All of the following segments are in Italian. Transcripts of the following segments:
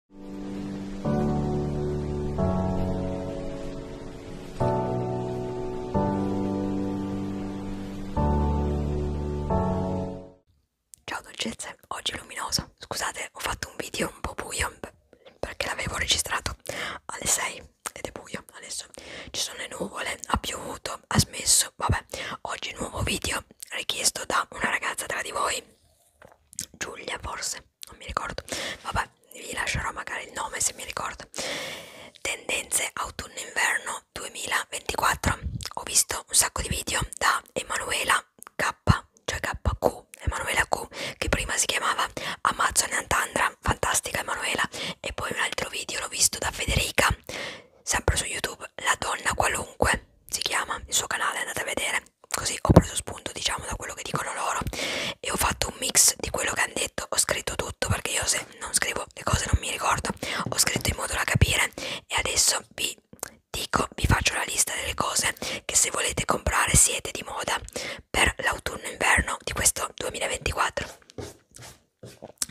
Ciao dolcezze, oggi è luminoso. Scusate, ho fatto un video un po' buio perché l'avevo registrato alle 6 ed è buio adesso. Ci sono le nuvole, ha piovuto, ha smesso. Vabbè, oggi nuovo video richiesto da una ragazza tra di voi Giulia forse, non mi ricordo, vabbè vi lascerò magari il nome se mi ricordo. Tendenze autunno-inverno 2024. Ho visto un sacco di video da Emanuela K, cioè KQ, Emanuela Q, che prima si chiamava Amazon Antandra, fantastica Emanuela, e poi un altro video l'ho visto da Federica, sempre su YouTube, La donna qualunque si chiama, il suo canale andate a vedere, così ho preso spunto diciamo da quello che dicono loro e ho fatto un mix di quello che hanno detto ho scritto tutto perché io se non scrivo le cose non mi ricordo ho scritto in modo da capire e adesso vi dico vi faccio la lista delle cose che se volete comprare siete di moda per l'autunno inverno di questo 2024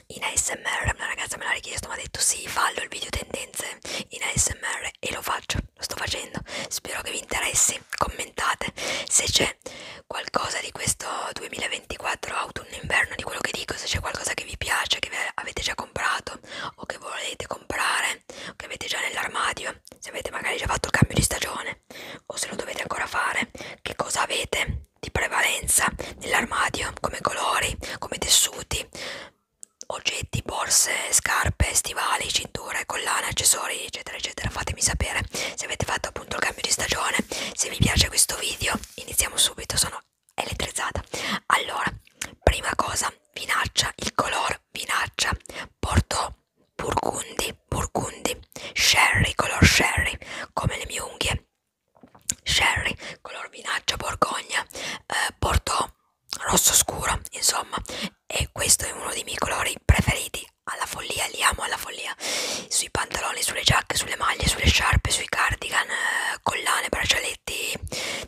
in ASMR una ragazza me l'ha richiesto mi ha detto sì fallo il video tendenze in ASMR e lo faccio lo sto facendo spero che vi interessi commentate se c'è qualcosa di questo 2024 autunno inverno di quello che dico se c'è qualcosa che vi piace che avete già comprato o che volete comprare o che avete già nell'armadio se avete magari già fatto il cambio di stagione o se lo dovete ancora fare che cosa avete di prevalenza nell'armadio come colori come tessuti oggetti, borse, scarpe, stivali, cinture, collane, accessori eccetera eccetera fatemi sapere se avete fatto appunto il cambio di stagione se vi piace questo video iniziamo subito sono elettrizzata allora prima cosa vinaccia il color vinaccia porto burgundi burgundi sherry color sherry come le mie unghie sherry color vinaccia borgogna eh, porto rosso scuro, insomma, e questo è uno dei miei colori preferiti alla follia, li amo alla follia, sui pantaloni, sulle giacche, sulle maglie, sulle sciarpe, sui cardigan, eh, collane, braccialetti,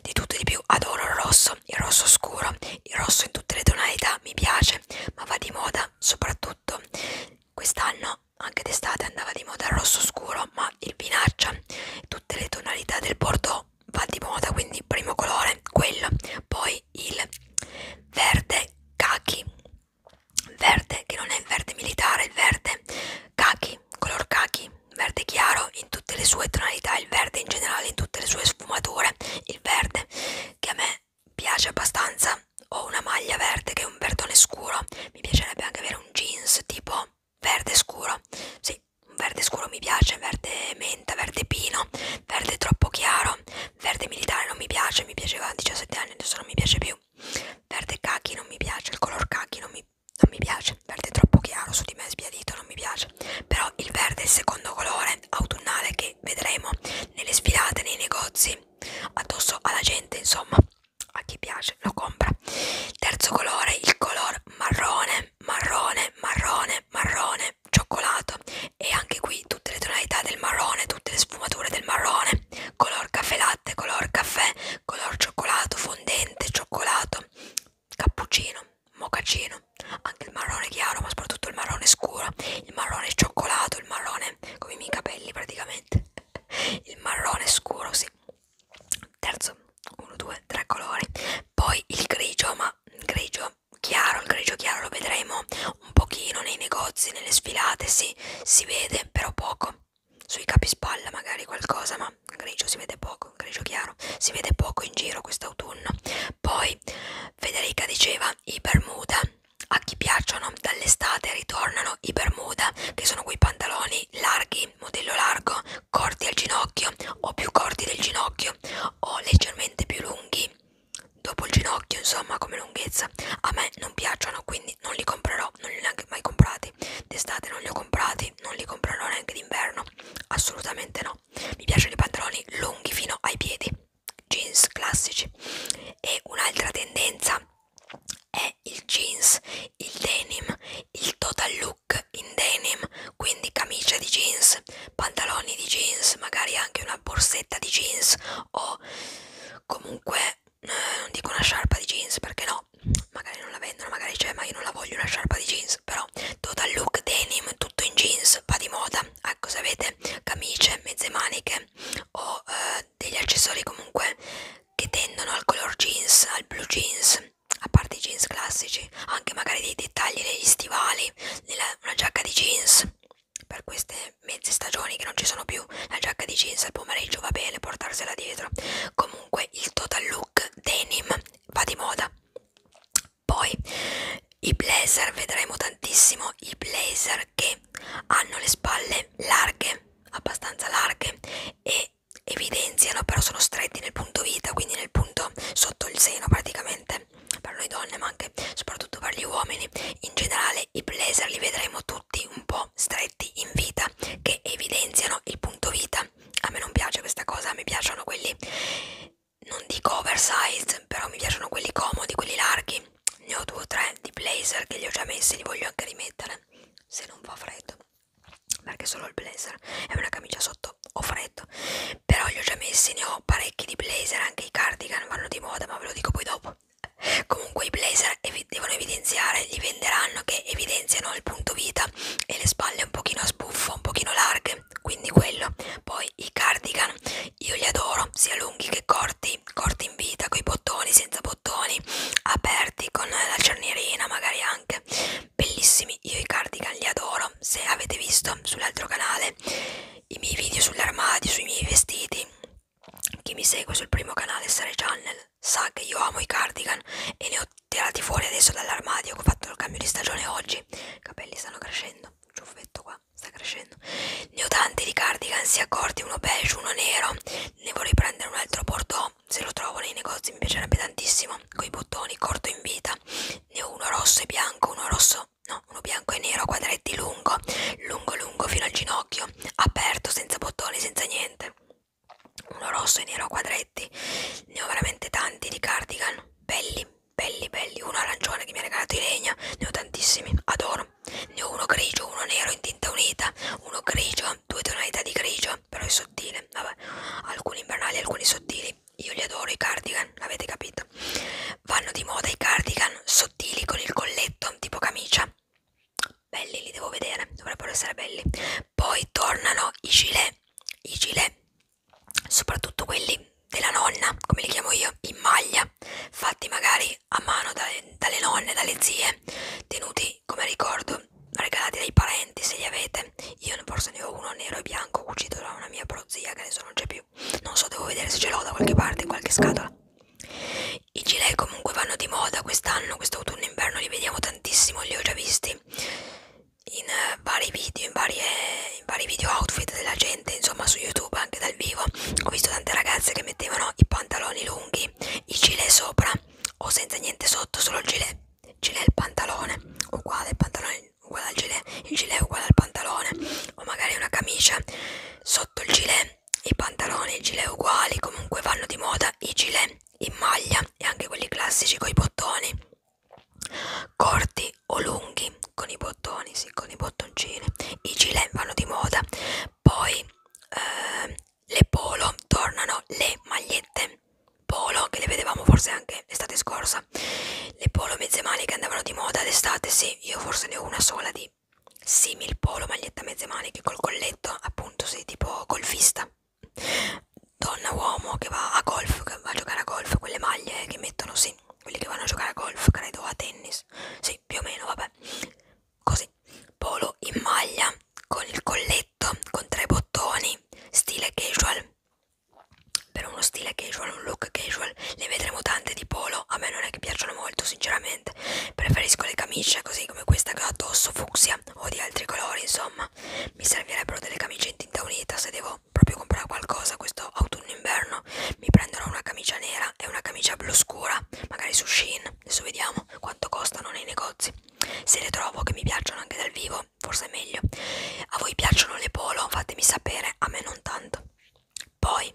di tutto e di più, adoro il rosso, il rosso scuro, il rosso in tutte le tonalità, mi piace, ma va di moda soprattutto quest'anno, anche d'estate andava di moda il rosso scuro, ma il vinaccia, tutte le tonalità del bordeaux va di moda quindi primo colore quello poi il verde khaki verde che non è il verde militare il verde khaki color khaki verde chiaro in tutte le sue tonalità il verde in generale in tutte le sue sfumature il verde che a me piace abbastanza ho una maglia verde che è un verdone scuro mi piacerebbe anche avere un jeans tipo verde scuro, sì, un verde scuro mi piace, verde menta, verde pino, verde troppo chiaro, verde militare non mi piace, mi piaceva a 17 anni, adesso non mi piace più, verde cachi non mi piace, il color cachi non mi, non mi piace, verde troppo chiaro su di me sbiadito non mi piace, però il verde è il secondo colore autunnale che vedremo nelle sfilate, nei negozi, addosso alla gente insomma a chi piace lo compra terzo colore il color marrone marrone, marrone, marrone, cioccolato e anche qui tutte le tonalità del marrone, tutte le sfumature del marrone, color caffè latte, color caffè, color cioccolato, fondente, cioccolato, cappuccino, moccacino, anche il marrone chiaro ma soprattutto il marrone scuro, il marrone cioccolato, il marrone come i miei capelli praticamente, il marrone scuro sì. Terzo, 1 2 3 colori poi il grigio ma il grigio chiaro il grigio chiaro lo vedremo un pochino nei negozi nelle sfilate sì si vede però poco sui capispalla magari qualcosa ma il grigio si vede poco il grigio chiaro si vede poco in giro quest'autunno poi Federica diceva i bermuda a chi piacciono dall'estate ritornano i bermuda che sono quei pantaloni larghi modello largo, corti al ginocchio o più corti del ginocchio o leggermente più lunghi dopo il ginocchio, insomma, come lunghezza. A me non piacciono, quindi non li comprerò, non li ho neanche mai comprati. D'estate non li ho comprati, non li comprerò neanche d'inverno, assolutamente no. Mi piacciono i pantaloni lunghi fino ai piedi, jeans classici. E un'altra tendenza è il jeans, il denim, il total look in denim, quindi camicia di jeans, pantaloni di jeans, magari anche una borsetta di jeans o comunque eh, non dico una sciarpa di jeans perché no, magari non la vendono, magari c'è, ma io non la voglio una sciarpa di jeans, però total look denim, tutto in jeans, va di moda, ecco se avete camicie, mezze maniche o eh, degli accessori comunque che tendono al color jeans, al blue jeans a parte i jeans classici, anche magari dei dettagli negli stivali, nella, una giacca di jeans per queste mezze stagioni che non ci sono più, la giacca di jeans al pomeriggio va bene portarsela dietro. Comunque il total look denim va di moda. Poi i blazer, vedremo tantissimo i blazer che hanno le spalle larghe, abbastanza larghe e che evidenziano però sono stretti nel punto vita, quindi nel punto sotto il seno praticamente per noi donne ma anche soprattutto per gli uomini in generale i blazer li vedremo tutti un po' stretti in vita che evidenziano il punto vita a me non piace questa cosa, mi piacciono quelli non dico oversize però mi piacciono quelli comodi, quelli larghi ne ho due o tre di blazer che li ho già messi, li voglio anche rimettere se non fa freddo perché solo il blazer e una camicia sotto ho freddo però li ho già messi ne ho parecchi di blazer anche i cardigan vanno di moda ma ve lo dico poi dopo comunque i blazer evi devono evidenziare li venderanno che evidenziano il punto vita e le spalle un pochino a sbuffo un pochino larghe quindi quello poi i cardigan io li adoro sia lunghi che corti corti in vita coi bottoni senza bottoni aperti con la cernierina magari anche bellissimi io i cardigan li adoro se avete visto sull'altro canale i miei video sull'armadio sui miei vestiti chi mi segue sul primo canale Sare Channel sa che io amo i cardigan e li ho tirati fuori adesso dall'armadio ho fatto il cambio di stagione oggi i capelli stanno crescendo il ciuffetto qua sta crescendo ne ho tanti di cardigan sia corti uno beige uno nero ne vorrei prendere un altro bordeaux uno se lo trovo nei negozi mi piacerebbe tantissimo con i bottoni corto in vita ne ho uno rosso e bianco uno rosso no uno bianco e nero a quadretti lungo lungo lungo fino al ginocchio aperto senza bottoni senza niente uno rosso e nero a quadretti ne ho veramente tanti di cardigan belli belli belli uno arancione che mi ha regalato in legna ne ho tantissimi adoro ne ho uno grigio uno nero in tinta unita uno grigio rosa, due tonalità di grigio, però è sottile, vabbè, alcuni invernali, alcuni sottili, io li adoro i cardigan, avete capito? Vanno di moda i cardigan sottili con il colletto, tipo camicia, belli li devo vedere, dovrebbero essere belli. Poi tornano i gilet, i gilet, soprattutto quelli della nonna, come li chiamo io, in maglia, fatti magari a mano dalle, dalle nonne, dalle zie, tenuti che come ricordo regalati dai parenti se li avete io forse ne ho uno nero e bianco cucito da una mia prozia che adesso non c'è più non so devo vedere se ce l'ho da qualche parte in qualche scatola i gilet comunque vanno di moda quest'anno quest'autunno inverno li vediamo tantissimo li ho già visti in uh, vari video in, varie, in vari video outfit della gente insomma su youtube anche dal vivo ho visto tante ragazze che mettevano i pantaloni lunghi i gilet sopra o senza niente sotto solo il gilet gilet il pantalone uguale il pantalone uguale al gilet il gilet uguale al pantalone o magari una camicia sotto il gilet i pantaloni i gilet uguali comunque vanno di moda i gilet in maglia e anche quelli classici con i bottoni corti o lunghi con i bottoni sì con i bottoncini i gilet vanno di moda poi eh, le polo tornano le magliette polo che le vedevamo forse anche l'estate scorsa le polo mezze maniche che andavano di moda d'estate sì io forse ne ho una sola di simil polo maglietta mezze maniche col colletto appunto sei tipo golfista donna uomo che va a golf che va a giocare a golf quelle maglie che mettono sì quelli che vanno a giocare a golf credo a tennis sì più o meno vabbè così polo in maglia con il colletto giacchetto con tre bottoni, stile casual, per uno stile casual, un look casual, le vedremo tante di polo, a me non è che piacciono molto sinceramente, preferisco le camicie così come questa che ho addosso, fucsia o di altri colori insomma, mi servirebbero delle camicie in tinta unita se devo proprio comprare qualcosa questo autunno-inverno, mi prenderò una camicia nera e una camicia blu scura, magari su Shein, adesso vediamo quanto costano nei negozi se le trovo che mi piacciono anche dal vivo forse è meglio a voi piacciono le polo fatemi sapere a me non tanto poi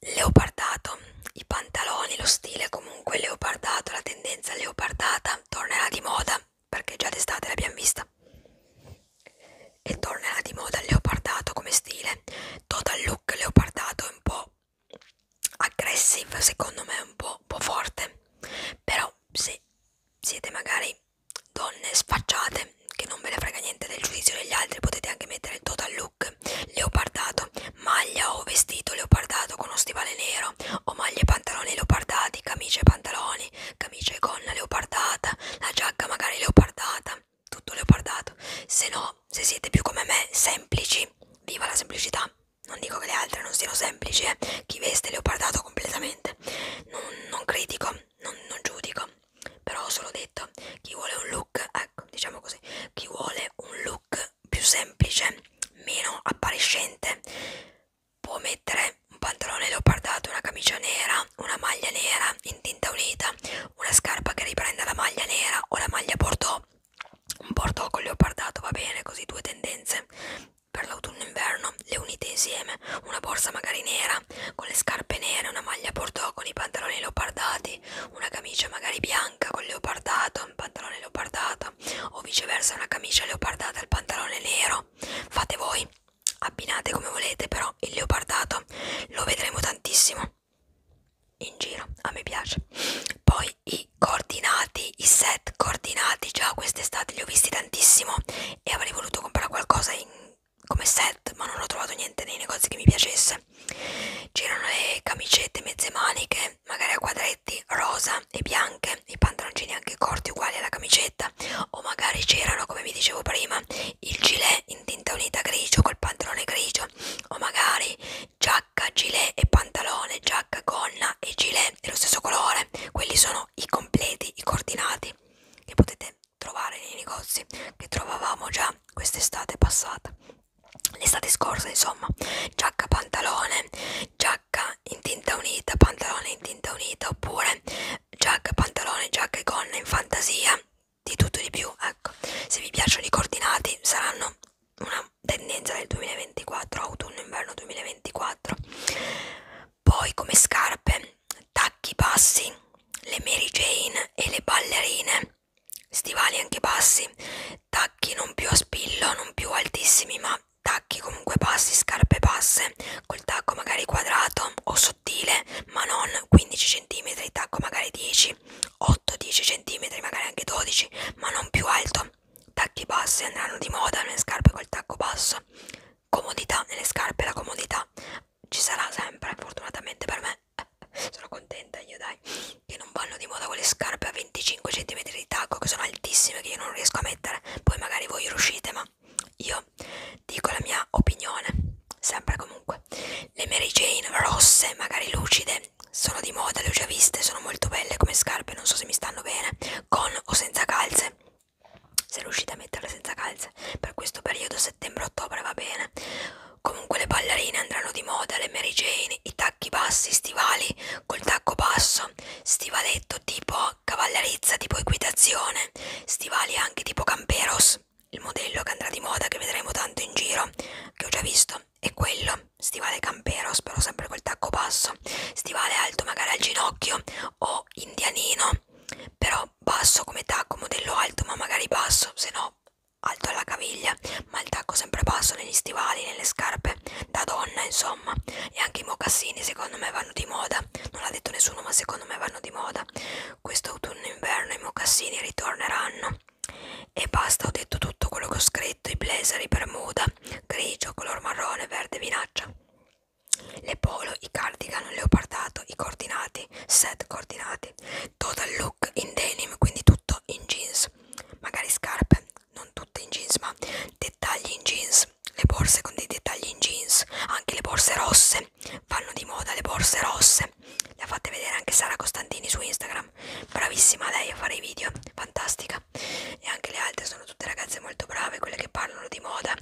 leopardato i pantaloni lo stile comunque leopardato la tendenza leopardata tornerà di moda perché già d'estate l'abbiamo vista e tornerà di moda leopardato come stile total look leopardato è un po' aggressive secondo me è un po', un po' forte però se siete magari donne sfacciate che non ve ne frega niente del giudizio degli altri potete anche mettere il total look leopardato maglia o vestito leopardato con uno stivale nero o maglie e pantaloni leopardati camicie e pantaloni camicia e gonna leopardata la giacca magari leopardata tutto leopardato se no se siete più come me semplici viva la semplicità non dico che le altre non siano semplici, eh. chi veste leopardato completamente, non, non critico, non, non giudico, però ho solo detto, chi vuole un look, ecco, diciamo così, chi vuole un look più semplice, meno appariscente, può mettere un pantalone leopardato, una camicia nera, una maglia nera in tinta unita, una scarpa che riprenda la maglia nera o la maglia bordeaux un bordeaux con leopardato va bene, così due tendenze per l'autunno-inverno, le unite insieme, una borsa magari nera con le scarpe nere, una maglia bordeaux con i pantaloni leopardati, una camicia magari bianca con leopardato, un pantalone leopardato o viceversa una camicia leopardata e il pantalone nero, fate voi, abbinate come volete, però il leopardato lo vedremo tantissimo in giro, a me piace. Poi i coordinati, i set coordinati già quest'estate li ho visti tantissimo e avrei voluto comprare qualcosa in, come set ma non ho trovato niente nei negozi che mi piacesse c'erano le camicette mezze maniche magari a quadretti rosa e bianche i pantaloncini anche corti uguali alla camicetta o magari c'erano come vi dicevo prima il gilet in tinta unita grigio col pantalone grigio o magari già giacca, gilet e pantalone, giacca, gonna e gilet dello stesso colore. Quelli sono i completi, i coordinati che potete trovare nei negozi che trovavamo già quest'estate passata. L'estate scorsa, insomma, giacca, pantalone, giacca in tinta unita, pantalone in tinta unita oppure giacca, pantalone, giacca e gonna in fantasia, di tutto e di più. Ecco, se vi piacciono i coordinati saranno una tendenza del 2024, autunno-inverno 2024. Poi come scarpe, tacchi bassi, le Mary Jane e le ballerine, stivali anche bassi, tacchi non più a spillo, non più altissimi, ma tacchi comunque bassi, scarpe basse, col tacco magari quadrato o sottile, ma non 15 cm, tacco magari 10 alti 8-10 cm magari anche 12 ma non più alto tacchi bassi andranno di moda nelle scarpe col tacco basso comodità nelle scarpe la comodità ci sarà sempre fortunatamente per me sono contenta io dai che non vanno di moda quelle scarpe a 25 cm di tacco che sono altissime che io non riesco a mettere poi magari voi riuscite ma io dico la mia opinione sempre comunque le Mary Jane rosse magari lucide sono di moda, le ho già viste, sono molto belle come scarpe, non so se mi stanno bene, con o senza calze. Se riuscite a metterle senza calze, per questo periodo settembre-ottobre va bene. Comunque le ballerine andranno di moda, le Mary Jane, i tacchi bassi, stivali col tacco basso, stivaletto tipo cavallerizza, tipo equitazione, stivali anche tipo camperos, il modello che andrà di moda che vedremo tanto in giro, che ho già visto, è quello stivale campero spero sempre col tacco basso stivale alto magari al ginocchio o indianino però basso come tacco modello alto ma magari basso se no alto alla caviglia ma il tacco sempre basso negli stivali nelle scarpe da donna insomma e anche i mocassini secondo me vanno di moda non l'ha detto nessuno ma secondo me vanno di moda questo autunno inverno i mocassini ritorneranno e basta, ho detto tutto quello che ho scritto, i blazer, i bermuda, grigio, color marrone, verde, vinaccia, le polo, i cardigan, leopardato, i coordinati, set coordinati, total look in denim, quindi tutto in jeans, magari scarpe, non tutte in jeans, ma dettagli in jeans, le borse con dei dettagli in jeans, anche le borse rosse, vanno di moda le borse rosse, le ha fatte vedere anche Sara Costantini su Instagram Instagram bravissima lei a fare i video fantastica e anche le altre sono tutte ragazze molto brave quelle che parlano di moda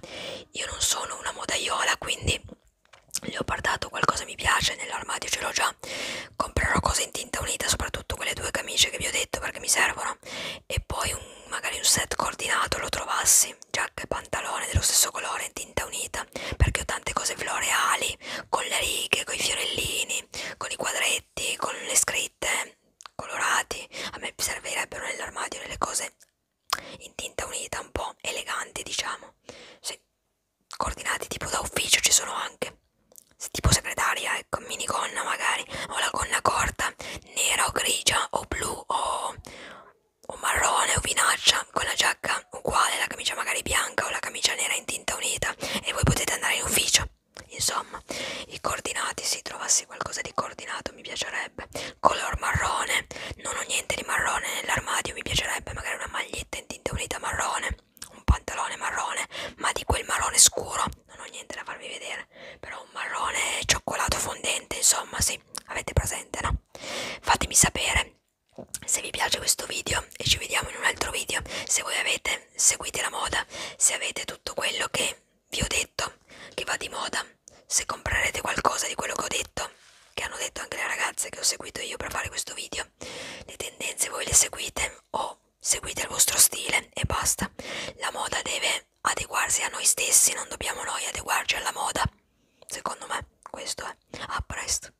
io non sono una modaiola quindi le ho portato qualcosa mi piace nell'armadio ce l'ho già comprerò cose in tinta unita soprattutto quelle due camicie che vi ho detto perché mi servono e poi un, magari un set coordinato lo trovassi giacca e pantalone dello stesso colore in tinta unita perché ho tante cose floreali disegni, con le righe, con i fiorellini, con i quadretti, con le scritte colorati. A me servirebbero nell'armadio delle cose in tinta unita, un po' eleganti, diciamo. Sì. Coordinati tipo da ufficio ci sono anche. Tipo segretaria, ecco, minigonna magari, o la gonna corta, nera o grigia o blu o, o marrone o vinaccia, con la giacca uguale, la camicia magari bianca o la camicia nera in tinta unita e voi potete andare in ufficio. Insomma, i coordinati, se trovassi qualcosa di coordinato mi piacerebbe. Color marrone, non ho niente di marrone nell'armadio, mi piacerebbe magari una maglietta in tinta unita marrone, un pantalone marrone, ma di quel marrone scuro, non ho niente da farvi vedere, però un marrone cioccolato fondente, insomma, sì, avete presente, no? Fatemi sapere se vi piace questo video e ci vediamo in un altro video se voi avete seguite la moda se avete tutto quello che vi ho detto che va di moda se comprerete qualcosa di quello che ho detto che hanno detto anche le ragazze che ho seguito io per fare questo video le tendenze voi le seguite o seguite il vostro stile e basta la moda deve adeguarsi a noi stessi non dobbiamo noi adeguarci alla moda secondo me questo è a presto